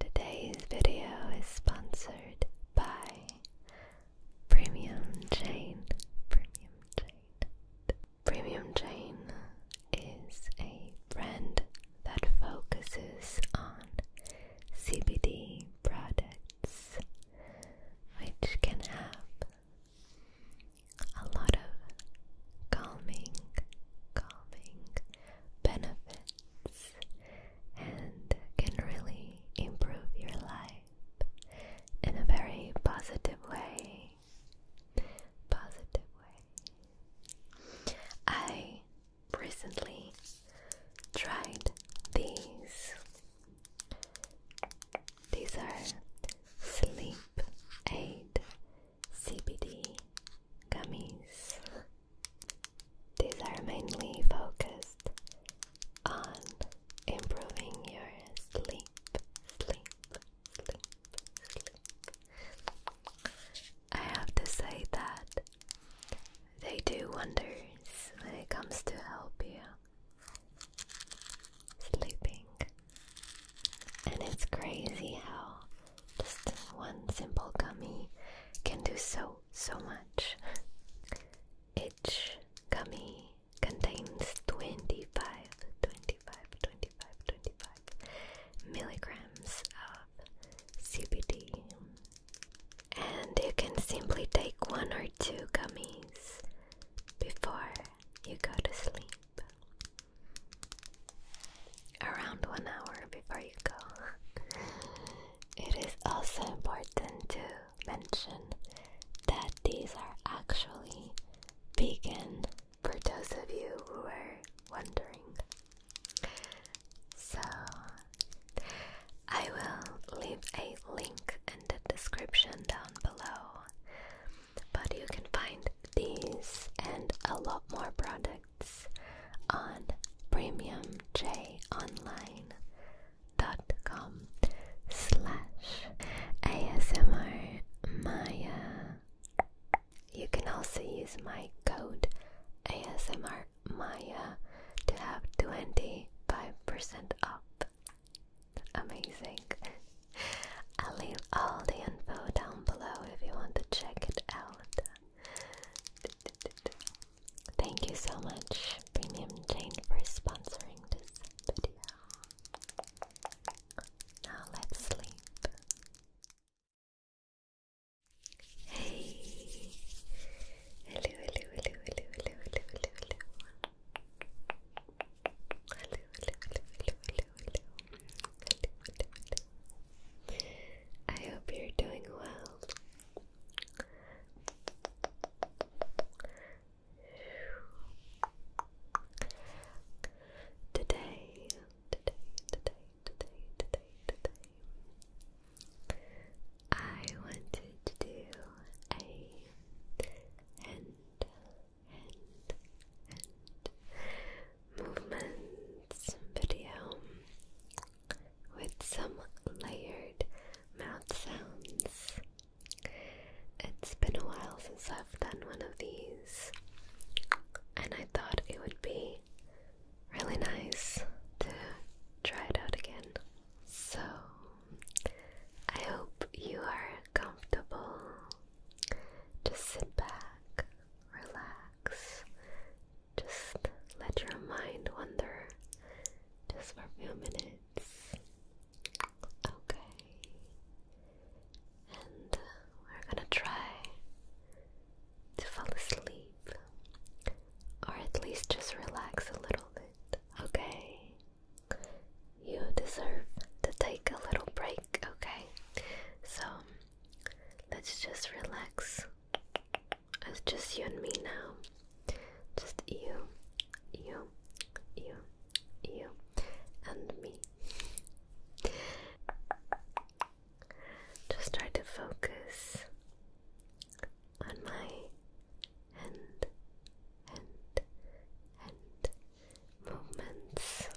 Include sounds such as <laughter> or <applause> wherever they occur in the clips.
Today's video is sponsored by Premium Chain. Premium Chain. Premium Chain is a brand that focuses on CBD products, which can have a lot of calming, calming benefits and can really improve your life in a very positive way. Positive way. I recently tried these. These are sleep aid CBD gummies. These are mainly focused on improving your sleep, sleep, sleep, sleep. I have to say that they do wonders when it comes to help you sleeping. And it's crazy how just one simple gummy can do so, so much. Each gummy contains 25, 25, 25, 25 milligrams of CBD. And you can simply take one or two gummies before you go to sleep around one hour before you go. <laughs> it is also important to mention that these are actually vegan for those of you who are wondering. So, I will leave a link in the description down below, but you can find these and a lot more products on premiumjonline.com slash ASMR Maya. You can also use my code ASMR Maya to have 25% off. Amazing. I'll leave all the info down below if you want to check it out. Thank you so much, Premium Jane, for sponsoring this video. Now let's sleep. Hey! I hope you're doing well. Today, today, today, today, today, today, I wanted to do a hand, hand, hand movements video with some layered mouth sounds. It's been a while since I've done one of these, and I thought it would be really nice to try it out again. So, I hope you are comfortable. Just sit back, relax. Just let your mind wander just for a few minutes. Okay. And uh, we're gonna try to fall asleep or at least just relax a little bit. Okay. You deserve to take a little break, okay? So Let's just relax. It's just you and me now. Just you, you, you, you, and me. Just try to focus on my hand, hand, hand movements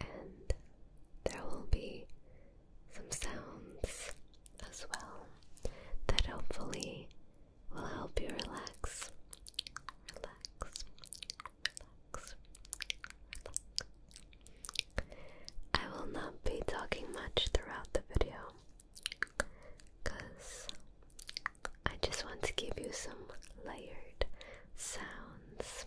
and there will be some sounds as well that hopefully will help you relax. Relax, relax, relax. I will not be talking much throughout the video because I just want to give you some layered sounds.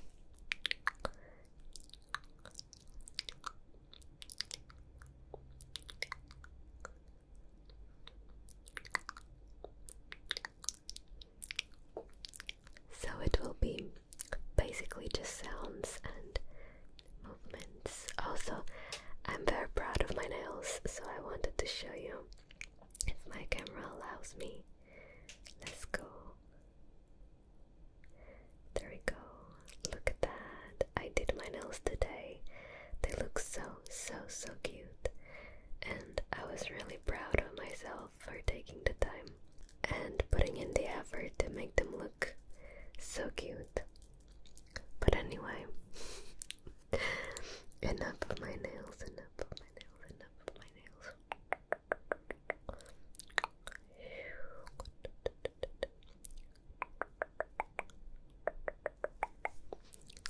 So it will be basically just sounds and movements. Also, I'm very proud of my nails, so I wanted to show you if my camera allows me Let's go. There we go. Look at that. I did my nails today. They look so, so, so cute. And I was really proud of myself for taking the time and putting in the effort to make them look so cute. But anyway, <laughs> enough of my nails, enough of my nails, enough of my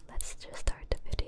Let's just start the video.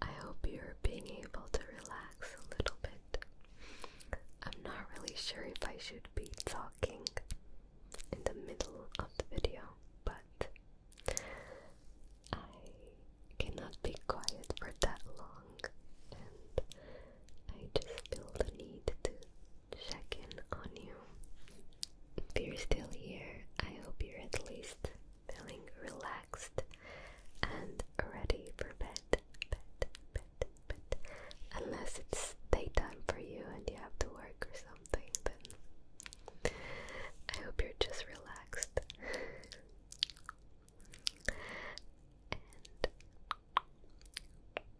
I hope you're being able to relax a little bit. I'm not really sure if I should be talking in the middle of the video, but I cannot be quiet for that long, and I just feel the need to check in on you. If you're still here, I hope you're at least feeling relaxed and ready for bed, bed, bed, bed. Unless it's daytime for you and you have to work or something, then I hope you're just relaxed. and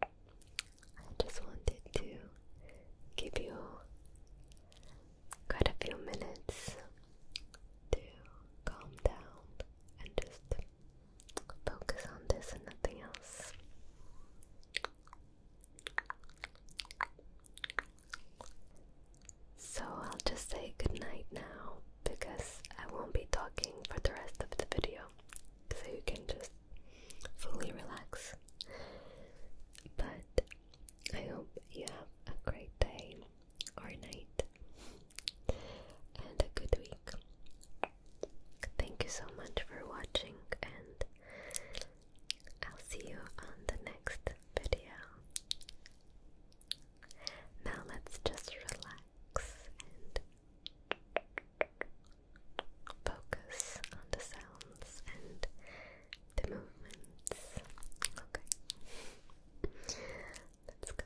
I just wanted to give you quite a few minutes to calm down and just focus on this and nothing else. So I'll just say goodnight now because I won't be talking for the rest of the video so you can just fully relax. But I hope you have a great day or night and a good week. Thank you so much for watching, and I'll see you on the next video. Now, let's just relax and focus on the sounds and the movements. Okay. Let's go. Okay.